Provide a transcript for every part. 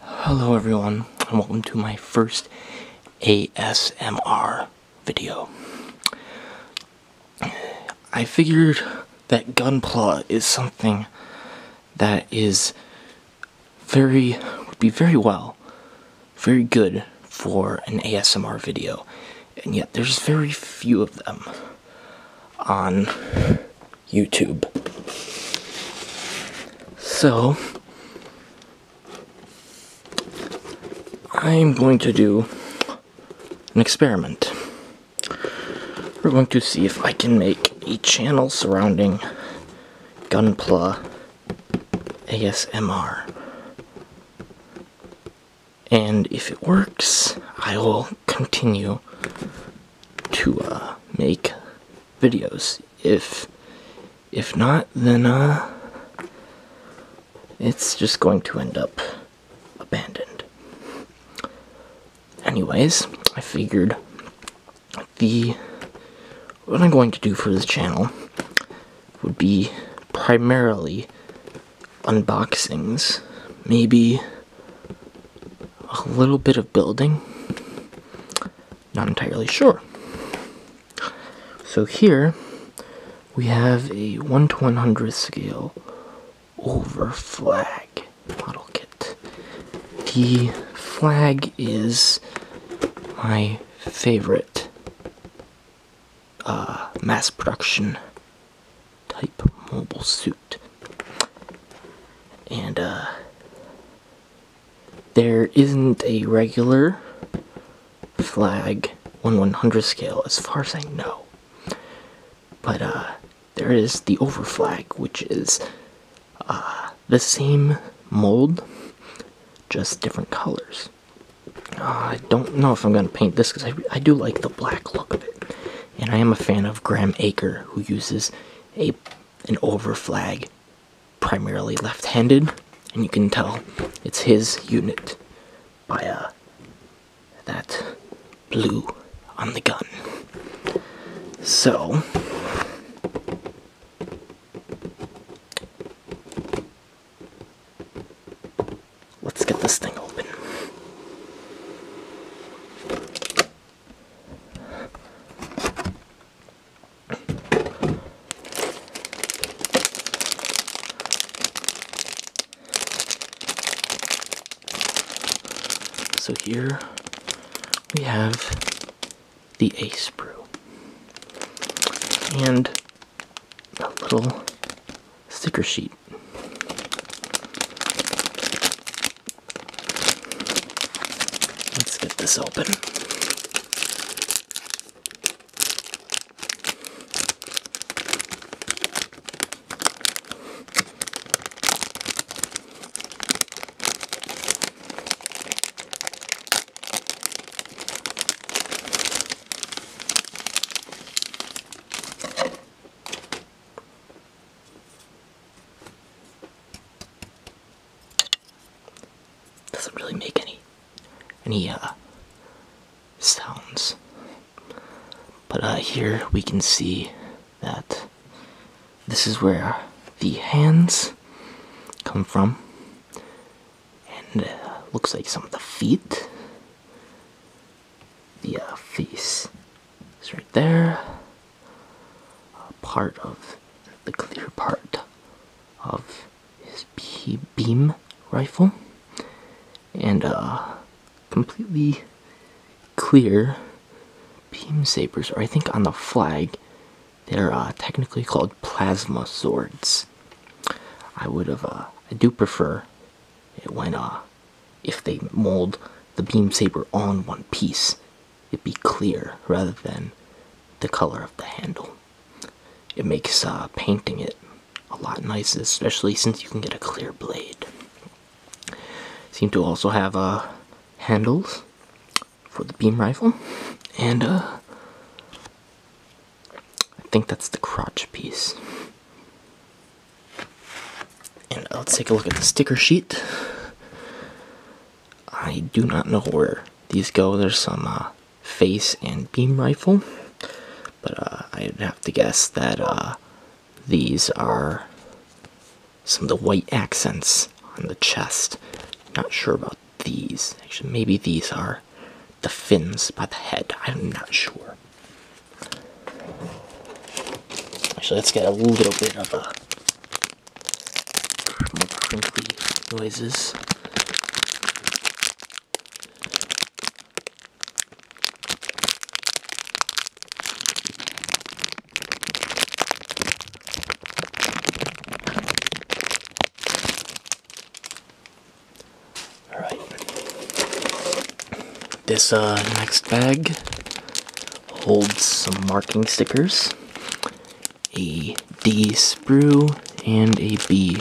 Hello everyone and welcome to my first ASMR video. I figured that gunpla is something that is very would be very well very good for an ASMR video and yet there's very few of them on YouTube. So, I'm going to do an experiment. We're going to see if I can make a channel surrounding Gunpla ASMR. And if it works, I will continue to uh, make videos. If if not, then uh, it's just going to end up abandoned. Anyways, I figured the what I'm going to do for this channel would be primarily unboxings, maybe a little bit of building. Not entirely sure. So here we have a 1 to 100 scale over flag model kit. The flag is my favorite uh, mass production type mobile suit. And, uh, there isn't a regular flag 1 100 scale as far as I know. But, uh, there is the over flag, which is, uh, the same mold, just different colors. Uh, I don't know if I'm gonna paint this because I do like the black look of it and I am a fan of Graham Aker, who uses a an over flag, primarily left-handed, and you can tell it's his unit by uh, that blue on the gun. So. Let's get this thing open. So here we have the Ace Brew and a little sticker sheet. Let's get this open. Doesn't really make any any uh, sounds. But uh, here we can see that this is where the hands come from, and uh, looks like some of the feet, the uh, face, it's right there. part of the clear part of his beam rifle, and uh, completely clear beam sabers, or I think on the flag, they're uh, technically called plasma swords. I would have. Uh, I do prefer it when uh, if they mold the beam saber on one piece, it would be clear rather than the color of the handle. It makes uh, painting it a lot nicer, especially since you can get a clear blade. Seem to also have uh, handles for the beam rifle, and uh, I think that's the crotch piece. And let's take a look at the sticker sheet. I do not know where these go. There's some uh, face and beam rifle, but uh, I'd have to guess that uh, these are some of the white accents on the chest. Not sure about these. Actually, maybe these are the fins by the head. I'm not sure. Actually, let's get a little bit of a uh, crinkly noises. All right. This uh, next bag holds some marking stickers, a D sprue and a B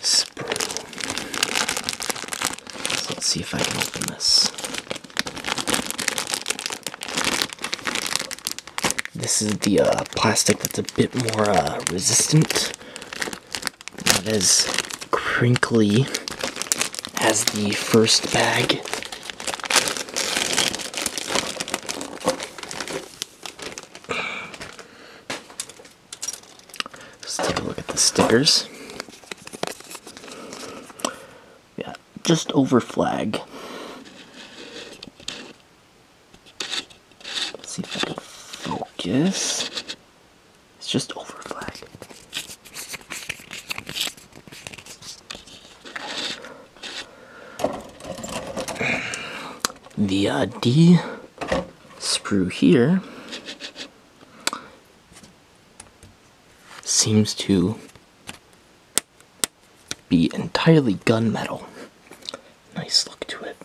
sprue. let's see if I can open this. This is the uh, plastic that's a bit more uh, resistant not as crinkly as the first bag. Let's take a look at the stickers. Yeah, just over flag. see if I can focus. It's just over flag. The uh, D screw here seems to be entirely gunmetal. Nice look to it.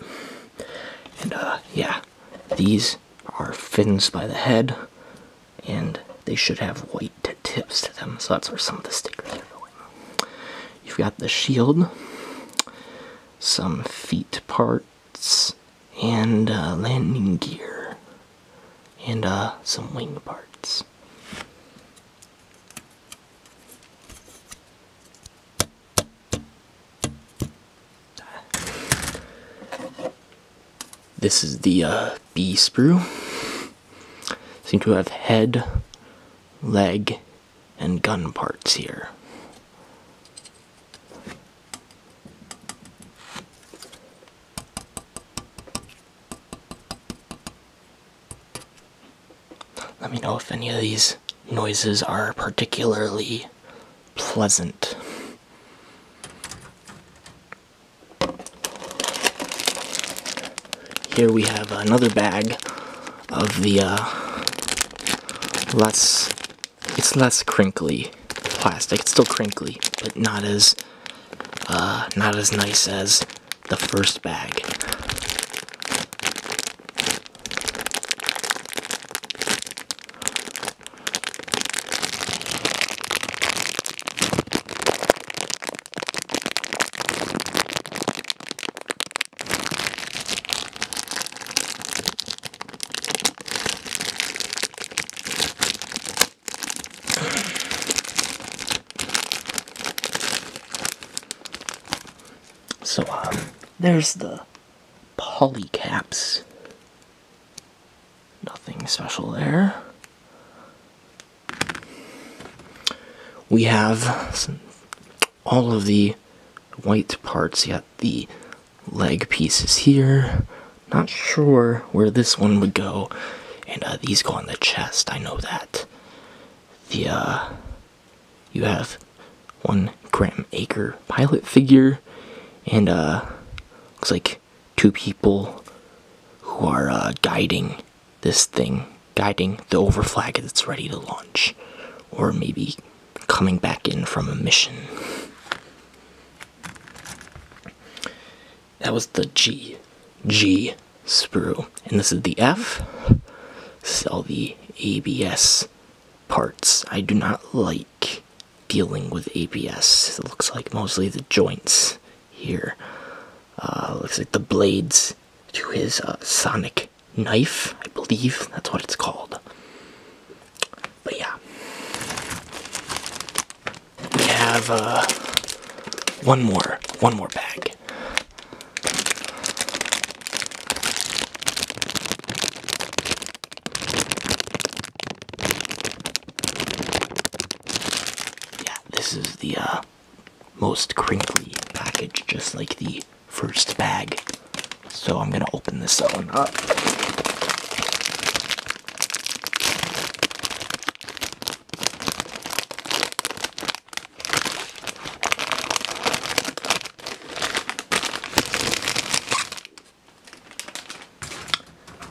And uh, yeah, these are fins by the head, and they should have white tips to them, so that's where some of the stickers are going. You've got the shield, some feet parts, and uh, landing gear, and uh, some wing parts. This is the uh, B sprue. Seem to have head, leg, and gun parts here. Let me know if any of these noises are particularly pleasant. Here we have another bag of the uh, less, it's less crinkly plastic. It's still crinkly, but not as, uh, not as nice as the first bag. So um, there's the polycaps. Nothing special there. We have all of the white parts, yet the leg pieces here. Not sure where this one would go, and uh, these go on the chest, I know that. The, uh, you have one gram acre pilot figure, and uh, looks like two people who are uh, guiding this thing, guiding the overflag as it's ready to launch, or maybe coming back in from a mission. That was the G, G sprue, and this is the F. This is all the ABS parts I do not like dealing with ABS. It looks like mostly the joints here. Uh, looks like the blades to his uh, sonic knife, I believe that's what it's called. But yeah. We have uh, one more, one more bag. Yeah, this is the uh, most crinkly package, just like the first bag. So I'm gonna open this one up.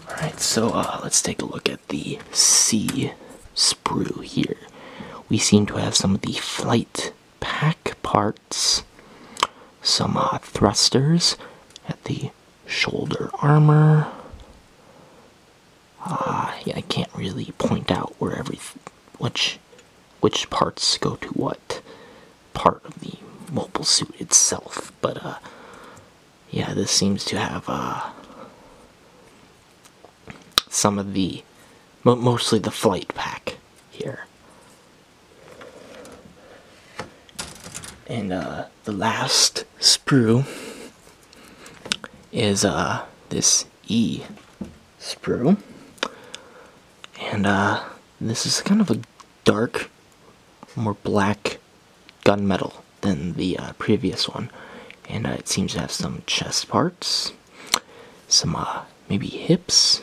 Alright, so uh, let's take a look at the C sprue here. We seem to have some of the flight pack parts, some uh, thrusters at the shoulder armor. Uh, I can't really point out where every which which parts go to what part of the mobile suit itself. But uh, yeah, this seems to have uh, some of the but mostly the flight pack here. And uh, the last sprue is uh, this E sprue. And uh, this is kind of a dark, more black gunmetal than the uh, previous one. And uh, it seems to have some chest parts, some maybe hips.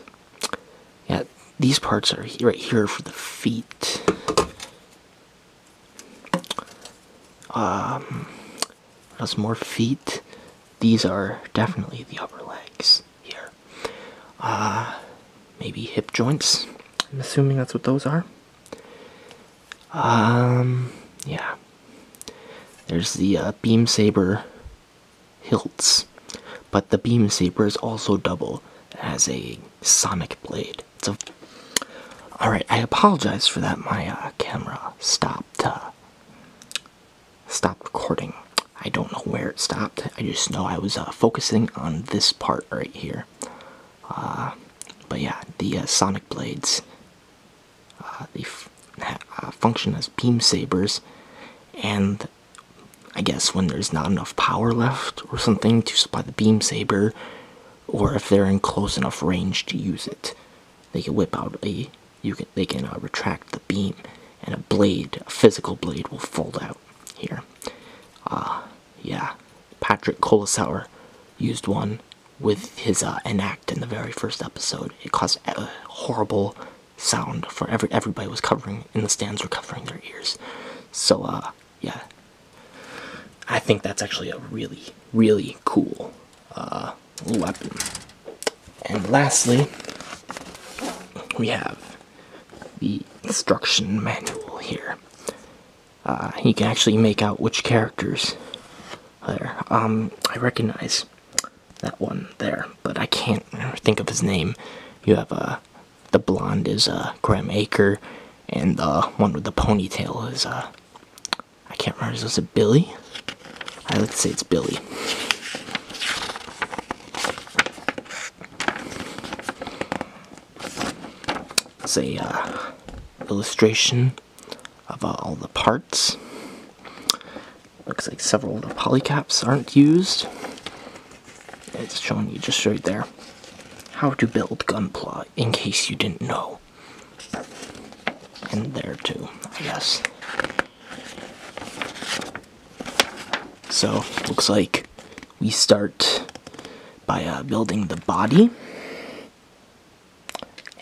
Yeah, these parts are right here for the feet. Um, that's more feet. These are definitely the upper legs here uh, maybe hip joints. I'm assuming that's what those are. Um, yeah. There's the uh, beam saber hilts, but the beam saber is also double as a sonic blade. It's a all right. I apologize for that. My uh, camera stopped. Uh, stop recording. I don't know where it stopped. I just know I was uh, focusing on this part right here. Uh, but yeah, the uh, Sonic Blades, they function as beam sabers, and I guess when there's not enough power left or something to supply the beam saber, or if they're in close enough range to use it, they can whip out a you can they can uh, retract the beam, and a blade, a physical blade, will fold out here. Uh, yeah, Patrick Colasauer used one with his uh, enact in the very first episode. It caused a horrible sound for every everybody was covering and the stands were covering their ears. So uh, yeah, I think that's actually a really really cool uh, weapon. And lastly, we have the instruction manual here. Uh, you can actually make out which characters there. Um, I recognize that one there, but I can't think of his name. You have uh, the blonde is uh, Graham Aker, and the uh, one with the ponytail is uh, I can't remember. Is it Billy? I like to say it's Billy. It's a uh, illustration of all the parts. Looks like several of the polycaps aren't used. It's showing you just right there how to build Gunpla, in case you didn't know. And there too, I guess. So, looks like we start by uh, building the body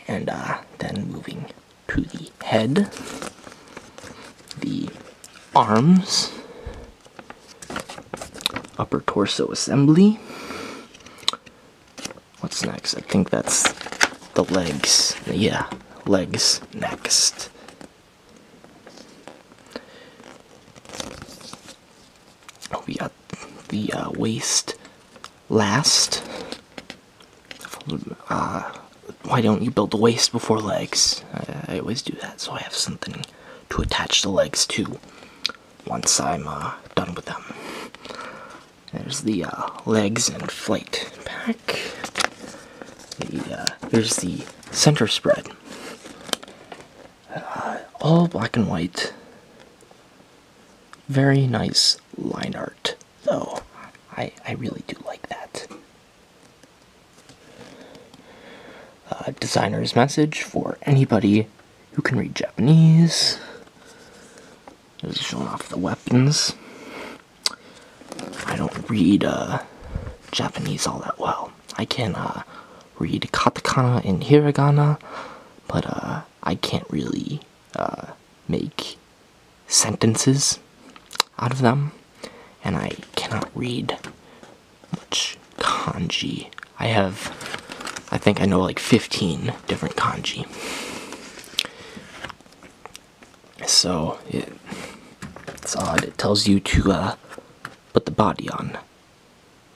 and uh, then moving to the head, the arms, upper torso assembly, What's next? I think that's the legs. Yeah, legs next. We got the uh, waist last. Uh, why don't you build the waist before legs? I, always do that, so I have something to attach the legs to once I'm uh, done with them. There's the uh, legs and flight pack. Uh, there's the center spread. Uh, all black and white. Very nice line art, though. I, I really do like that. designer's message for anybody who can read Japanese. This is showing off the weapons. I don't read uh, Japanese all that well. I can uh, read katakana and hiragana, but uh, I can't really make sentences out of them, and I cannot read much kanji. I have, I think I know like 15 different kanji. So it's odd. It tells you to uh, put the body on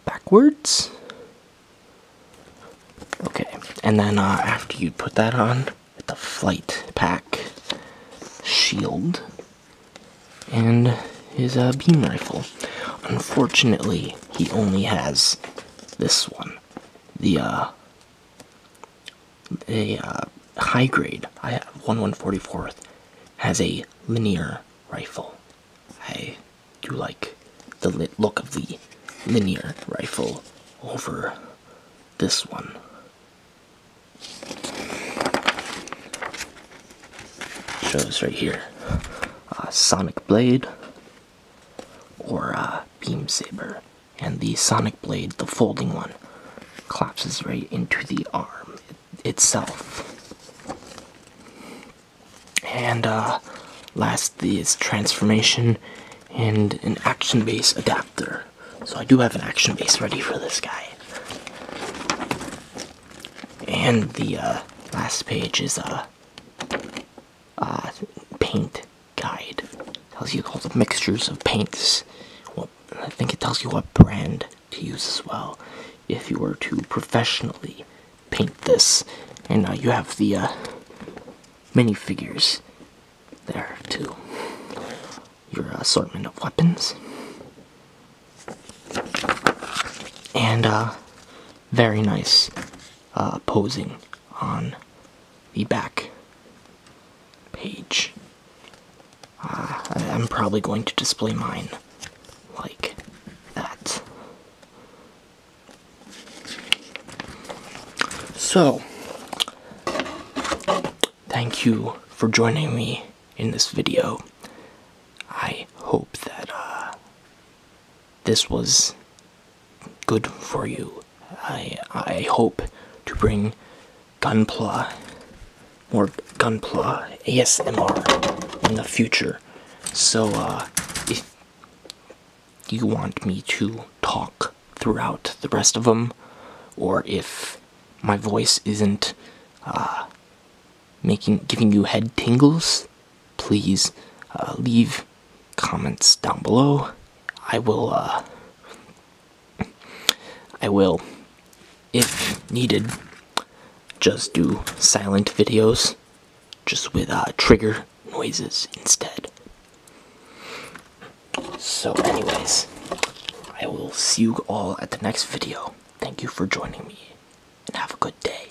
backwards. Okay, and then uh, after you put that on, the flight pack shield and his uh, beam rifle. Unfortunately, he only has this one, the uh, a uh, high grade I have 1144th has a linear rifle. I do like the look of the linear rifle over this one. Shows right here uh, Sonic Blade or a uh, Beam Saber and the sonic blade, the folding one, collapses right into the arm itself. And uh, last is transformation and an action base adapter. So I do have an action base ready for this guy. And the uh, last page is uh, uh paint guide. tells you all the mixtures of paints. Well, I think it tells you what brand to use as well if you were to professionally paint this. And now uh, you have the uh, minifigures there too. Your assortment of weapons. And uh, very nice uh, posing on the back page. Ah, I'm probably going to display mine like that. So, thank you for joining me in this video. I hope that uh, this was good for you. I I hope to bring gunpla more gunpla ASMR in the future. So uh, if you want me to talk throughout the rest of them or if my voice isn't uh, making giving you head tingles please uh, leave comments down below. I will, uh, I will, if needed, just do silent videos, just with uh, trigger noises instead. So anyways, I will see you all at the next video. Thank you for joining me, and have a good day.